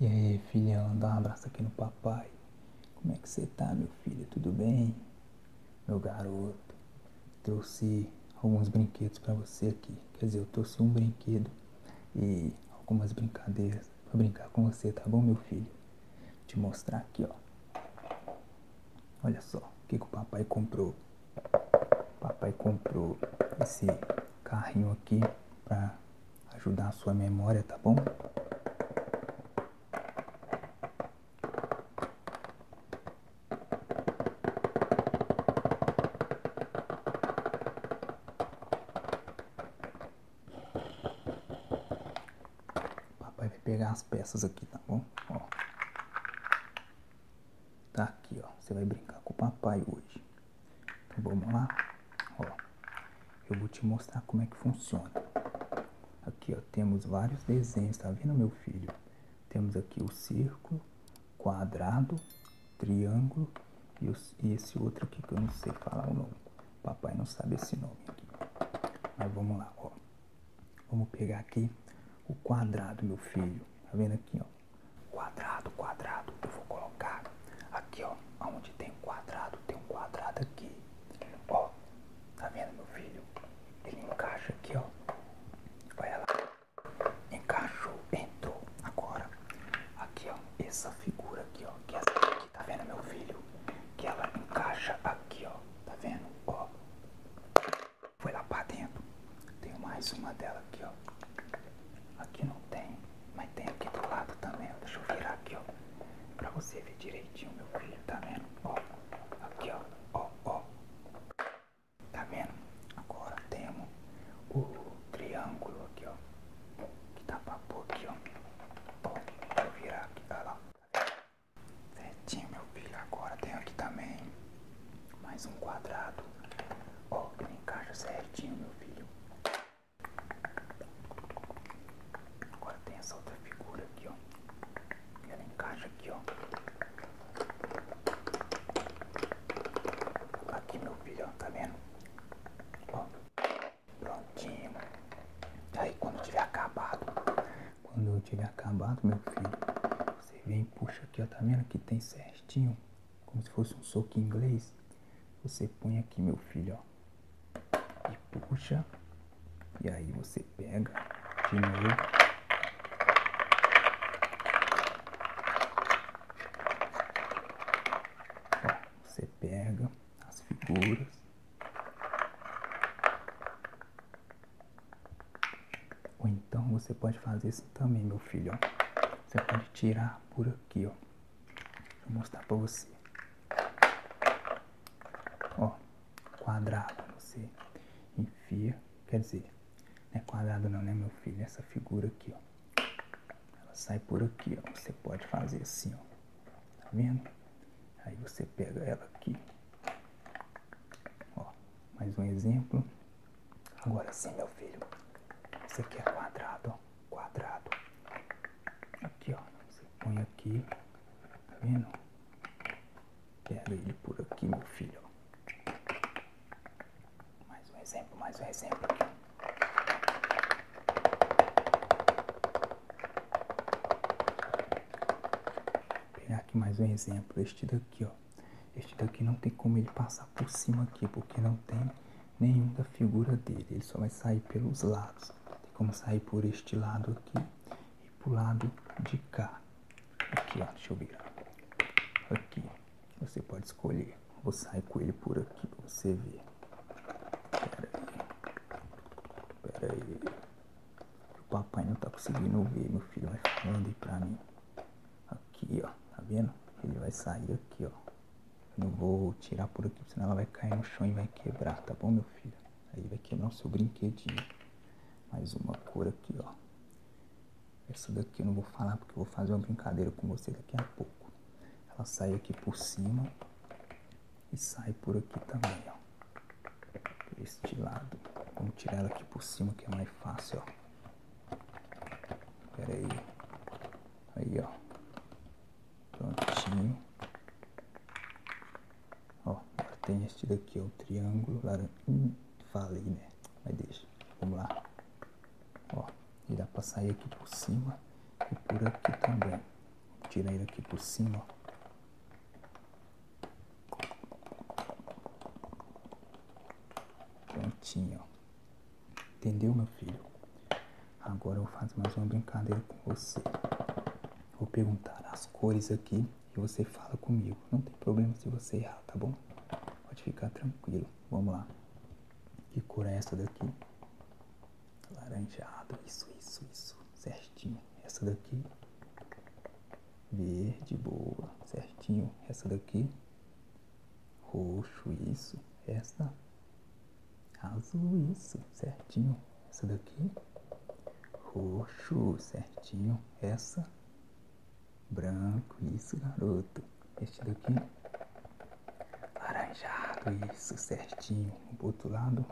E aí, filhão, dá um abraço aqui no papai. Como é que você tá, meu filho? Tudo bem? Meu garoto, trouxe alguns brinquedos para você aqui. Quer dizer, eu trouxe um brinquedo e algumas brincadeiras para brincar com você, tá bom, meu filho? Vou te mostrar aqui, ó. Olha só o que, o papai comprou. O papai comprou esse carrinho aqui para ajudar a sua memória, tá bom? Papai vai pegar as peças aqui, tá bom? Ó. Tá aqui, ó. Você vai brincar com o papai hoje. Então vamos lá. eu vou te mostrar como é que funciona. Aqui ó, temos vários desenhos, tá vendo meu filho? Temos aqui o círculo, quadrado, triângulo e, esse outro aqui que eu não sei falar o nome. Papai não sabe esse nome aqui. Mas vamos lá, ó. Vamos pegar aqui o quadrado, meu filho. Tá vendo aqui, ó? Quadrado, quadrado. Eu vou colocar Aqui, ó, onde tem um quadrado, tem um quadrado aqui. Ó, tá vendo meu filho? Ele encaixa aqui, ó. vai lá. Encaixou, entrou. Agora, aqui, ó, essa figura aqui, ó, que é essa aqui, tá vendo meu filho? Que ela encaixa aqui, ó, tá vendo? Ó, foi lá pra dentro. Tem mais uma dela aqui, ó. Aqui não tem. Mas tem aqui do lado também, deixa eu virar aqui, ó. Pra você ver direitinho, meu filho, tá vendo? Ó, aqui, ó, ó, ó. Tá vendo? Agora temos o triângulo aqui, ó. Que tá pra pôr aqui, ó. Ó, deixa eu virar aqui, olha lá. Certinho, meu filho. Agora tem aqui também mais um quadrado. Ó, que ele encaixa certinho, meu filho. Agora tem essa outra figura aqui, ó. Ela encaixa aqui, ó. Aqui, meu filho, ó. Tá vendo? Ó. Prontinho. Aí, quando tiver acabado, quando eu tiver acabado, meu filho, você vem e puxa aqui, ó. Tá vendo? que tem certinho como se fosse um soco inglês, você põe aqui, meu filho, ó, e puxa, e aí você pega de novo. você pega as figuras ou então você pode fazer isso assim também meu filho ó. você pode tirar por aqui ó Vou mostrar pra você. Ó, quadrado, você enfia, quer dizer, não é quadrado não, né, meu filho? Essa figura aqui, ó. Ela sai por aqui, ó. Você pode fazer assim, ó. Tá vendo? Aí você pega ela aqui. Ó, mais um exemplo. Agora sim, meu filho. Isso aqui é quadrado, ó quadrado. Aqui, ó. Você põe aqui. Tá vendo? Pega ele por aqui, meu filho. Mais um exemplo, mais um exemplo Vou pegar aqui mais um exemplo. Este daqui, ó. Este daqui não tem como ele passar por cima aqui, porque não tem nenhum da figura dele. Ele só vai sair pelos lados. Tem como sair por este lado aqui e pro lado de cá. Aqui, ó, deixa eu virar. Aqui, você pode escolher. Vou sair com ele por aqui pra você ver. Pera aí. Pera aí. O papai não tá conseguindo ver. meu filho vai falando aí pra mim. Aqui, ó, tá vendo? Ele vai sair aqui, ó. Não vou tirar por aqui, senão ela vai cair no chão e vai quebrar, tá bom, meu filho? Aí vai quebrar o seu brinquedinho. Mais uma cor aqui, ó. Essa daqui eu não vou falar porque eu vou fazer uma brincadeira com você daqui a pouco. Ela sai aqui por cima e sai por aqui também, ó. Por este lado. Vamos tirar ela aqui por cima que é mais fácil, ó. Pera aí. Aí, ó. Prontinho. Ó, agora tem este daqui, ó, é o triângulo laranja. Hum, falei, né? Mas deixa. Vamos lá. Ó, e dá pra sair aqui por cima e por aqui também. Vou tirar ele aqui por cima, ó. Prontinho, ó. Entendeu, meu filho? Agora eu faço mais uma brincadeira com você. Vou perguntar as cores aqui e você fala comigo. Não tem problema se você errar, tá bom? Pode ficar tranquilo. Vamos lá. Que cor é essa daqui? Laranjado. Isso, isso, isso. Certinho. Essa daqui. Verde, boa. Certinho. Essa daqui. Roxo, isso. Essa. Azul, isso. Certinho. Essa daqui. Roxo, certinho. Essa. Branco, isso, garoto. Este daqui. Laranjado, isso, certinho. O outro lado.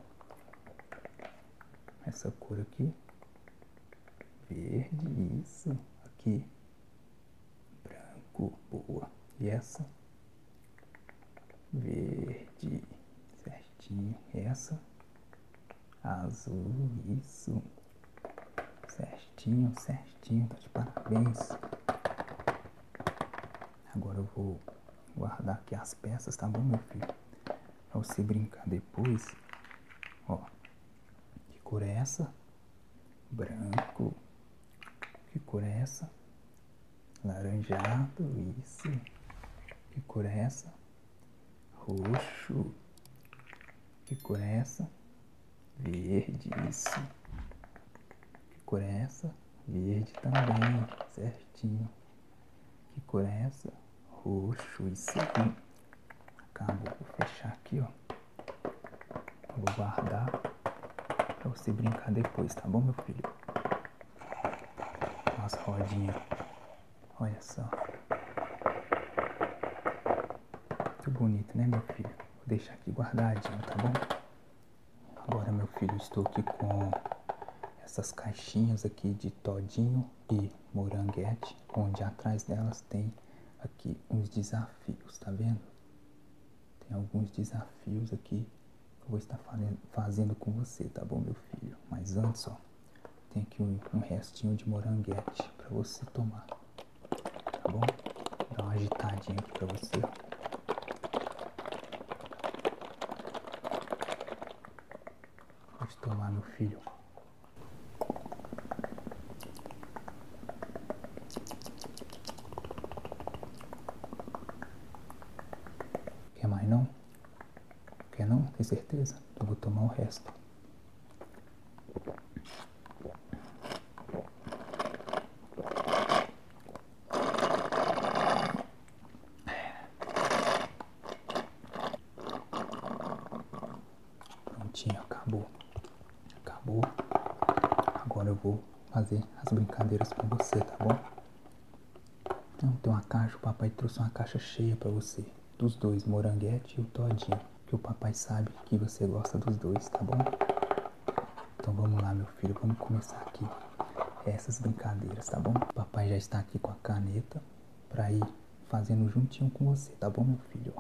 Essa cor aqui. Verde, isso. Aqui branco, boa. E essa? Verde, certinho. Essa? Azul, isso. Certinho, certinho. Tá de parabéns. Agora eu vou guardar aqui as peças, tá bom, meu filho? Pra você brincar depois. Ó, que cor é essa? Branco. Que cor é essa? Laranjado, isso. Que cor é essa? Roxo. Que cor é essa? Verde, isso. Que cor é essa? Verde também, certinho. Que cor é essa? Roxo, isso aqui. Acabou, vou fechar aqui, ó. Vou guardar para você brincar depois, tá bom, meu filho? Nossa rodinha. Olha só. Muito bonito, né, meu filho? Vou deixar aqui guardadinho, tá bom? Agora, meu filho, estou aqui com essas caixinhas aqui de todinho e moranguete, onde atrás delas tem aqui uns desafios, tá vendo? Tem alguns desafios aqui que eu vou estar fazendo com você, tá bom, meu filho? Mas antes, ó, tem aqui um, restinho de moranguete para você tomar, tá bom? Dar uma agitadinha aqui pra você, ó. Pode tomar, meu filho. Quer mais não? Quer não? Tem certeza? Eu vou tomar o resto. Prontinho, acabou. Acabou. Agora eu vou fazer as brincadeiras com você, tá bom? Então tem uma caixa, o papai trouxe uma caixa cheia para você. Dos dois, moranguete e o todinho. Que o papai sabe que você gosta dos dois, tá bom? Então vamos lá, meu filho, vamos começar aqui essas brincadeiras, tá bom? papai já está aqui com a caneta para ir fazendo juntinho com você, tá bom, meu filho?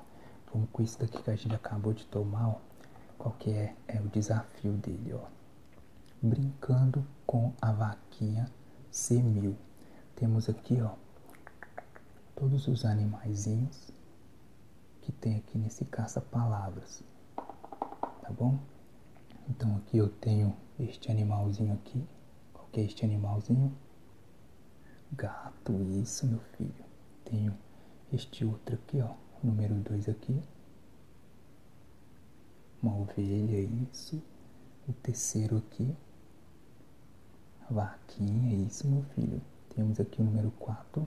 Vamos com isso daqui que a gente acabou de tomar, ó. Qual que é é o desafio dele, ó. Brincando com a vaquinha C1000. Temos aqui, ó, todos os animaizinhos que tem aqui nesse caça-palavras, tá bom? Então aqui eu tenho este animalzinho aqui, qual é este animalzinho? Gato, isso meu filho. Tenho este outro aqui, ó, número 2 aqui, uma ovelha, isso. O terceiro aqui, a vaquinha, isso, meu filho. Temos aqui o número 4,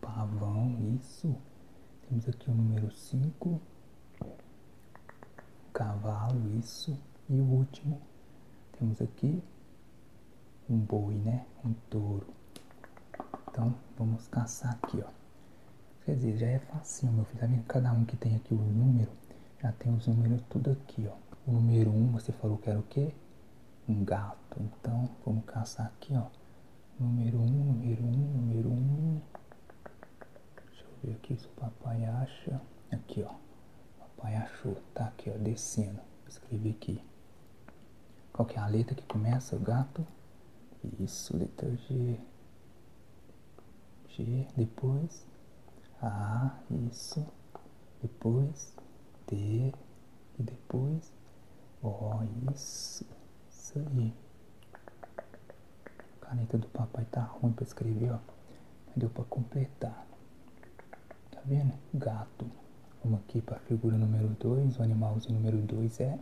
pavão, isso. Temos aqui o número 5, cavalo, isso. E o último, temos aqui um boi, né? Um touro. Então, vamos caçar aqui, ó. Quer dizer, já é facinho, meu filho. Tá vendo? Cada um que tem aqui o número, já tem os números tudo aqui, ó. O número 1, um, você falou que era o quê? Um gato. Então, vamos caçar aqui, ó. Número 1, um, número 1, um, número 1. Um. Deixa eu ver aqui se o papai acha. Aqui, ó. papai achou. Tá aqui, ó, descendo. Escrevi aqui. Qual é a letra que começa? O gato. Isso, letra G. G, depois. A, isso. Depois. T E depois. O, isso. Isso aí. A caneta do papai tá ruim para escrever, ó. Deu para completar. Tá vendo? Gato. Vamos aqui para a figura número 2. O animalzinho número 2 é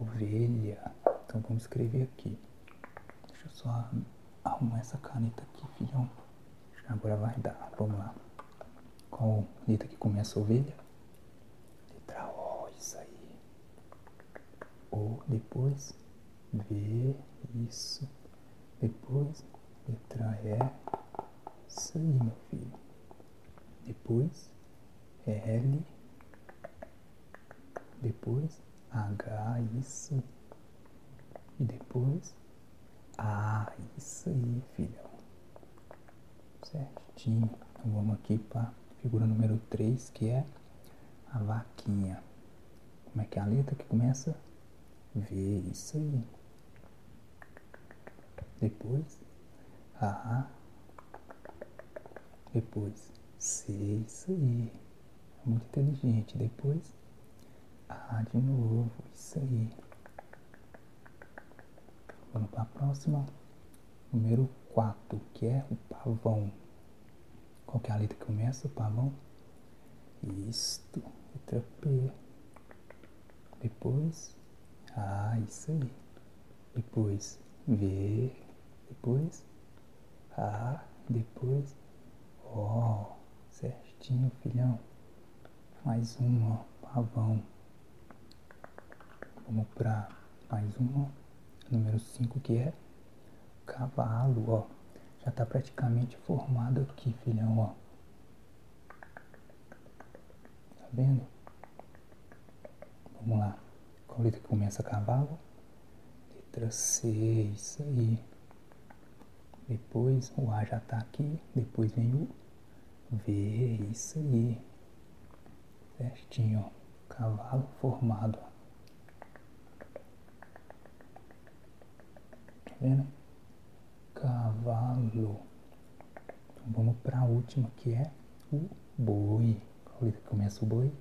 ovelha. Então vamos escrever aqui. Deixa eu só arrumar essa caneta aqui, filhão. Agora vai dar. Vamos lá. Qual letra que começa a ovelha? Letra O, isso aí. O, depois V, isso. Depois letra E. Isso aí, meu filho depois L, depois H, isso, e depois A, isso aí, filhão, certinho. Então vamos aqui para figura número 3, que é a vaquinha. Como é que é a letra que começa? V, isso aí. Depois, A. Depois, C. Isso aí. É muito inteligente. Depois, A de novo. Isso aí. Vamos para a próxima. Número 4, que é o pavão. Qual é a letra que começa? O pavão? Isto. Letra P. Depois, ah, isso aí. Depois V, depois A, ah, depois O. Certinho, filhão. Mais um, ó, pavão. Vamos para mais um, ó. Número 5 que é cavalo, ó. Já tá praticamente formado aqui, filhão, ó. Tá vendo? Vamos lá. Qual letra que começa cavalo? Letra C, isso aí. Depois o A já tá aqui. Depois vem o V, isso aí. festinho Cavalo formado. Tá vendo? cavalo. Então, vamos para a última que é o boi. Qual letra começa o boi?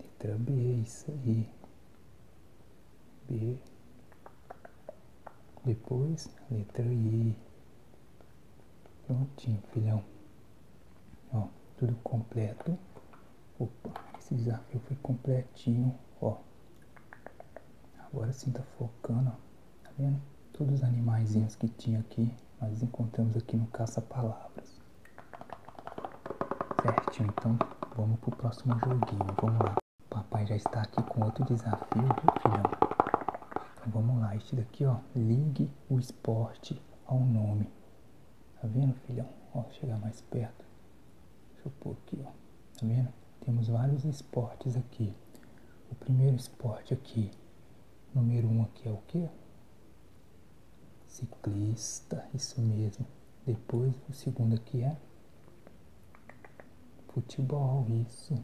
Letra B, isso aí. Depois, letra I. Prontinho, filhão. tudo completo. Opa, esse desafio foi completinho, ó. Agora sim tá focando, Tá vendo? Todos os animaizinhos que tinha aqui, nós encontramos aqui no caça-palavras. Certo. então vamos pro próximo joguinho. Vamos lá. O papai já está aqui com outro desafio, viu, filhão? Então vamos lá. Este daqui, ó. Ligue o esporte ao nome. Tá vendo, filhão? Ó, chegar mais perto. Deixa eu pôr aqui, ó. Tá vendo? Temos vários esportes aqui. O primeiro esporte aqui Número um aqui é o que? Ciclista, isso mesmo. Depois o segundo aqui é futebol, isso.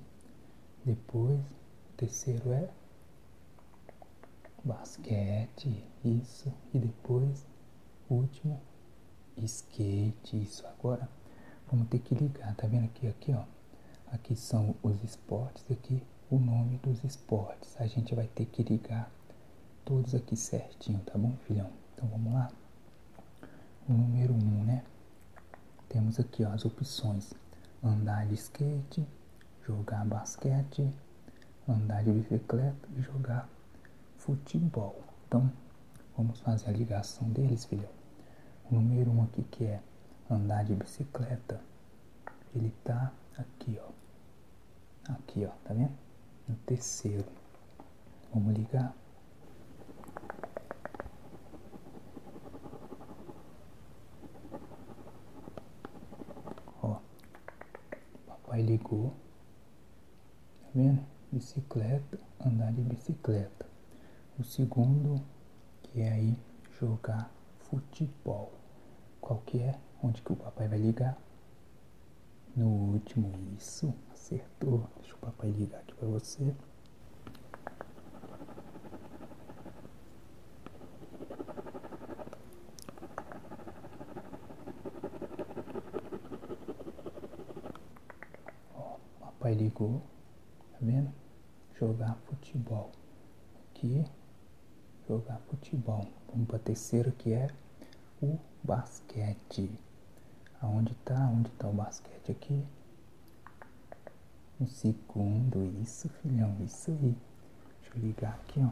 Depois o terceiro é basquete, isso. E depois último skate, isso. Agora vamos ter que ligar, tá vendo aqui, aqui, ó. Aqui são os esportes, aqui o nome dos esportes. A gente vai ter que ligar todos aqui certinho, tá bom, filhão? Então vamos lá. O número 1, um, né? Temos aqui as opções: andar de skate, jogar basquete, andar de bicicleta e jogar futebol. Então, vamos fazer a ligação deles, filhão. O número 1 um aqui que é andar de bicicleta, ele tá aqui, ó. Aqui, ó, tá vendo? No terceiro. Vamos ligar. Ó. Papai ligou. Tá vendo? Bicicleta, andar de bicicleta. O segundo, que é aí jogar futebol. Qual é? Onde que o papai vai ligar? No último, isso, acertou. Deixa o papai ligar aqui para você. Ó, papai ligou, tá vendo? jogar futebol. Aqui, jogar futebol. Vamos para o terceiro que é o basquete. Aonde está? Onde está o basquete aqui? Um segundo, isso filhão, isso aí. Deixa eu ligar aqui, ó.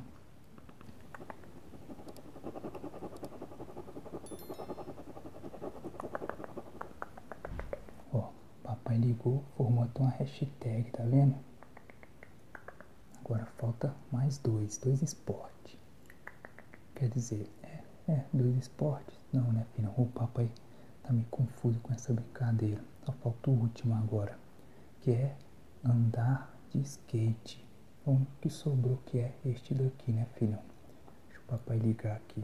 Ó, Papai ligou, formou até uma hashtag, tá vendo? Agora falta mais dois, dois esportes. Quer dizer, é, é, dois esportes? Não, né, filho? O papai tá me confuso com essa brincadeira. Só falta o último agora, que é andar de skate. O que sobrou que é este daqui, né, filho? Deixa o papai ligar aqui.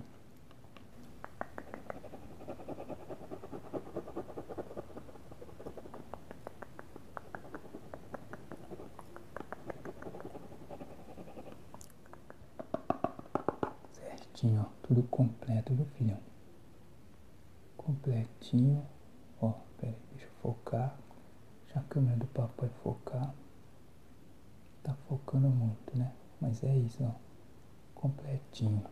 Certinho, ó, tudo completo, viu, filhão? Completinho, ó, pera aí, deixa eu focar. Deixa a câmera do papai é focar. Tá focando muito, né? Mas é isso, ó completinho.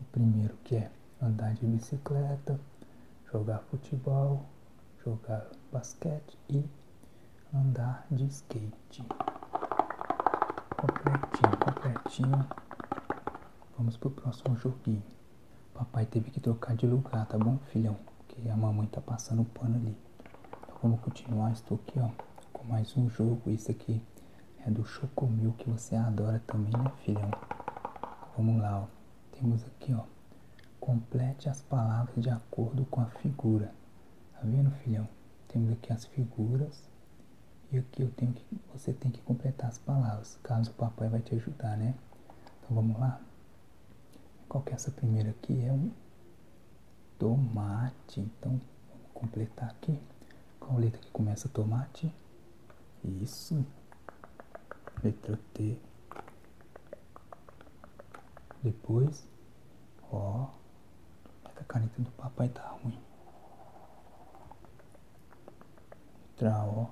O primeiro que é andar de bicicleta, jogar futebol, jogar basquete e andar de skate. Completinho, completinho. Vamos pro próximo joguinho. Papai teve que trocar de lugar, tá bom, filhão? Porque a mamãe tá passando o pano ali. Então vamos continuar, estou aqui, ó com mais um jogo. Isso aqui é do Chocomil que você adora também, né, filhão? Vamos lá, Temos aqui, ó. Complete as palavras de acordo com a figura. Tá vendo, filhão? Temos aqui as figuras. E aqui eu tenho que, você tem que completar as palavras, caso o papai vai te ajudar, né? Então vamos lá. Qual que é essa primeira aqui? É um tomate. Então, vamos completar aqui. Qual letra que começa tomate? Isso. Letra T. Depois, ó. É a caneta do papai tá ruim. Letra O.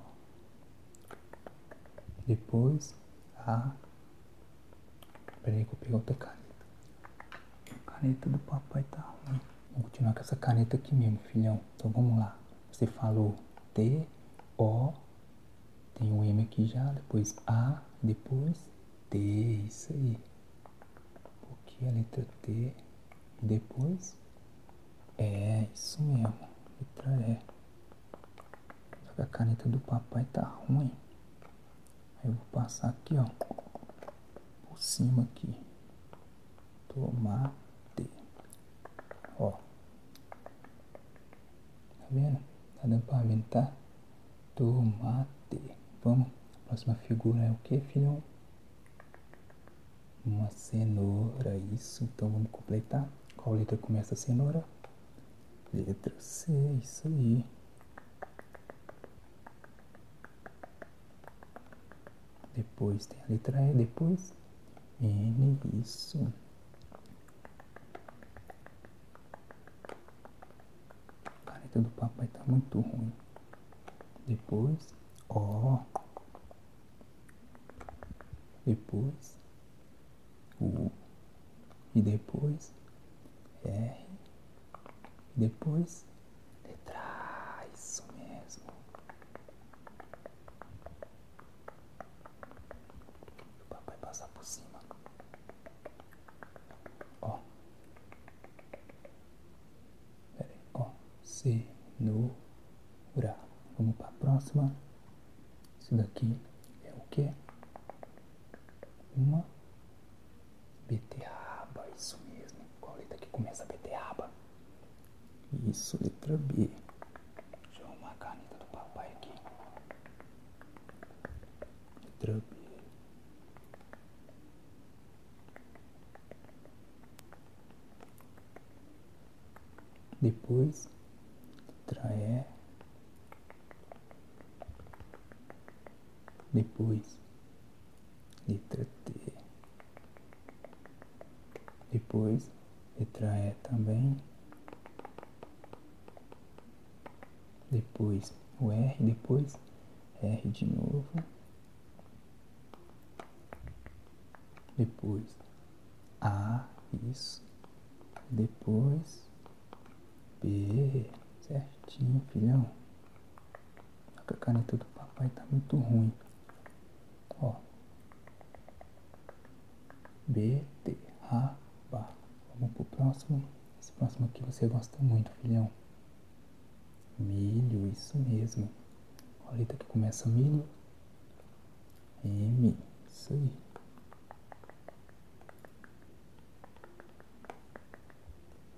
Depois, A. Peraí que eu peguei outra caneta. A caneta do papai tá ruim. Vou continuar com essa caneta aqui mesmo, filhão. Então vamos lá. Você falou T, O, tem o um M aqui já, depois A, depois T, isso aí. Porque a letra T, depois é, isso mesmo. Letra E. a caneta do papai tá ruim eu vou passar aqui, ó, por cima aqui, tomate, ó, tá vendo? Tá dando pra ver, tá? Tomate, vamos, próxima figura é o que, filhão? Uma cenoura, isso, então vamos completar, qual letra começa a cenoura? Letra C, isso aí. Depois tem a letra E, depois N, isso. A caneta do papai está muito ruim. Depois O. Depois U. E depois R. E depois Letra isso mesmo. O papai passar por cima. Ó. Pera aí, ó. Cenoura. Vamos para a próxima. Isso daqui é o que? Uma Beterraba, isso mesmo. Qual letra que começa a beterraba? Isso, letra B. Deixa eu arrumar a caneta do papai aqui. Letra B. Depois, letra E. Depois, letra T. Depois, letra E também. Depois o R, depois R de novo. Depois A, isso. Depois B, certinho, filhão a caneta do papai tá muito ruim. Ó. B. Vamos pro próximo. Esse próximo aqui você gosta muito, filhão. Milho, isso mesmo. Olha a letra que começa milho. M, isso aí.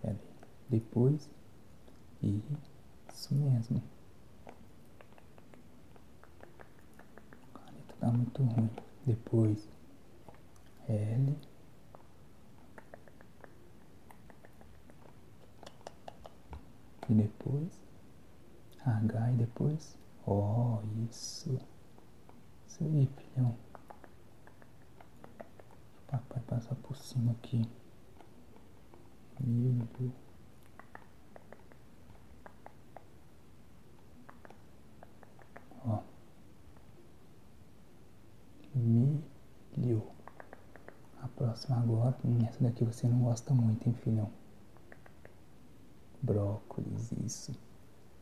Pera Depois. E isso mesmo. A tá muito ruim. Depois. L. E depois. H e depois. O. Isso. Isso aí, filhão. O papai passa por cima aqui. Meu Ó. Milho. A próxima agora, essa daqui você não gosta muito, hein, filhão? Brócolis, isso.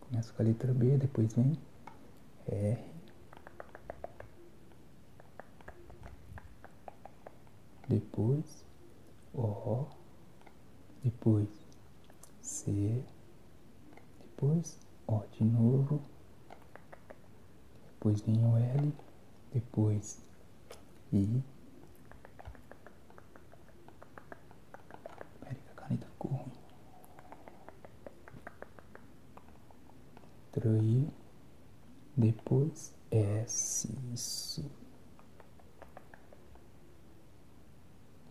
Começa com a letra B, depois vem R depois O, depois C, depois O de novo, depois vem o L, depois I. Peraí, a caneta ficou ruim. Troir, depois S, isso.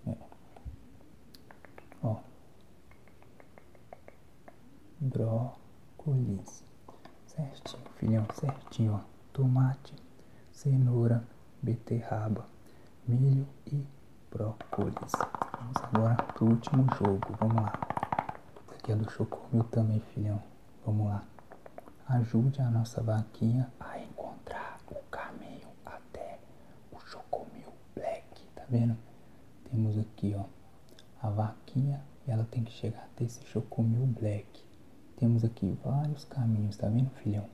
É. Ó. Brócolis. Certinho, filhão, certinho, Tomate, cenoura, beterraba, milho e brócolis. Vamos agora pro último jogo, vamos lá. Essa aqui é do Chocomil também, filhão. Vamos lá. Ajude a nossa vaquinha a encontrar o caminho até o Chocomil Black. Tá vendo? Temos aqui, ó. A vaquinha, ela tem que chegar até esse Chocomil Black. Temos aqui vários caminhos, tá vendo, filhão?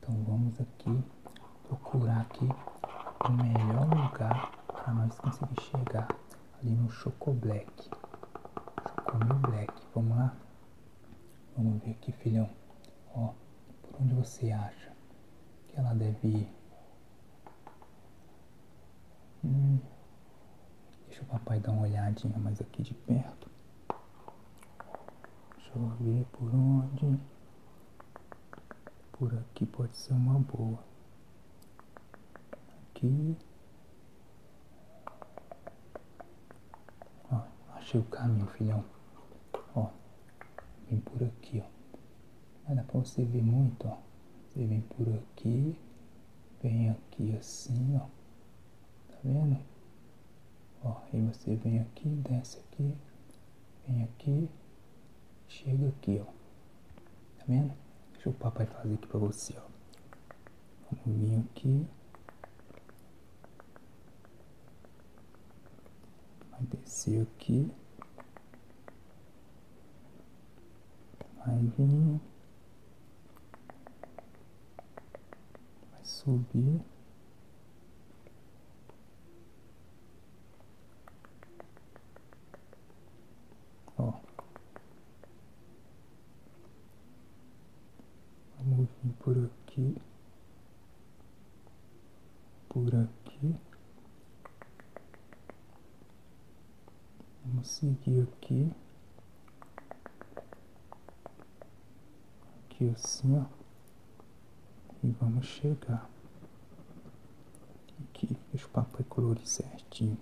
Então vamos aqui procurar aqui o melhor lugar para nós conseguir chegar ali no Choco Black. Choco Black, vamos lá? Vamos ver aqui, filhão. Ó, por onde você acha que ela deve ir? Hum, deixa o papai dar uma olhadinha mais aqui de perto. Deixa eu ver por onde. Por aqui pode ser uma boa. Aqui. Ó, achei o caminho, filhão. Ó, vem por aqui, ó. Mas dá pra você ver muito, ó. Você vem por aqui, vem aqui assim, ó. Tá vendo? Ó, aí você vem aqui, desce aqui, vem aqui, chega aqui, ó. Tá vendo? Deixa o papai fazer aqui pra você, ó. Vamos vir aqui. Vai descer aqui. Vai vir. Vai subir. Ó. Vamos vir por aqui. Por aqui. Vamos seguir aqui. Aqui assim, ó. E vamos chegar. Aqui, deixa o papo e colorir certinho.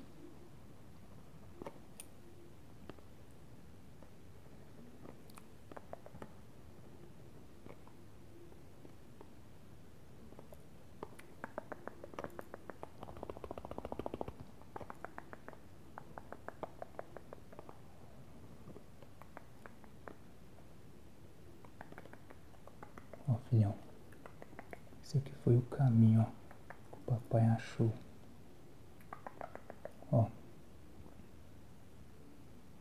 Ó, filhão. Esse aqui foi o caminho, Que o papai achou. Ó.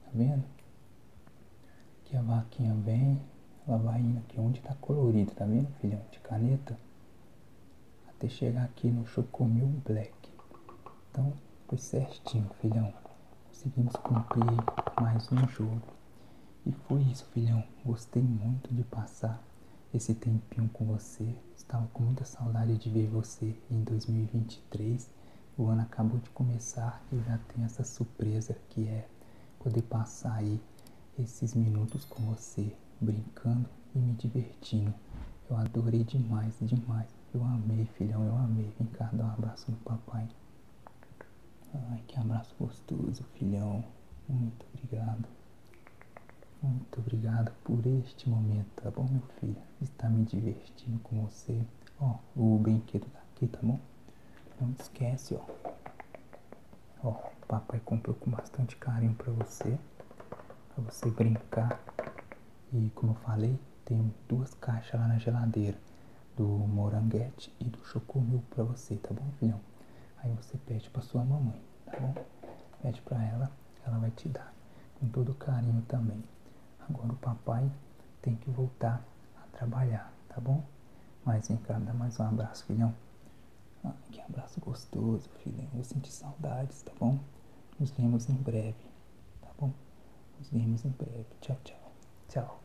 Tá vendo? Aqui a vaquinha vem. Ela vai indo aqui onde tá colorido, tá vendo, filhão? De caneta. Até chegar aqui no Chocomil Black. Então, foi certinho, filhão. Conseguimos cumprir mais um jogo. E foi isso, filhão. Gostei muito de passar esse tempinho com você. Estava com muita saudade de ver você em 2023. O ano acabou de começar e eu já tenho essa surpresa que é poder passar aí esses minutos com você, brincando e me divertindo. Eu adorei demais, demais. Eu amei, filhão, eu amei. Vem cá, dar um abraço no papai. Ai, que abraço gostoso, filhão. Muito obrigado. Muito obrigado por este momento, tá bom, meu filho? Está me divertindo com você. Ó, o brinquedo tá aqui, tá bom? Não esquece, ó. Ó, papai comprou com bastante carinho para você. para você brincar. E como eu falei, tem duas caixas lá na geladeira do moranguete e do chocomil pra você, tá bom, filhão? Aí você pede pra sua mamãe, tá bom? Pede pra ela, ela vai te dar com todo carinho também. Agora o papai tem que voltar a trabalhar, tá bom? Mas vem cá, dá mais um abraço, filhão. que abraço gostoso, filhão. Eu senti saudades, tá bom? Nos vemos em breve, tá bom? Nos vemos em breve. Tchau, tchau. Tchau.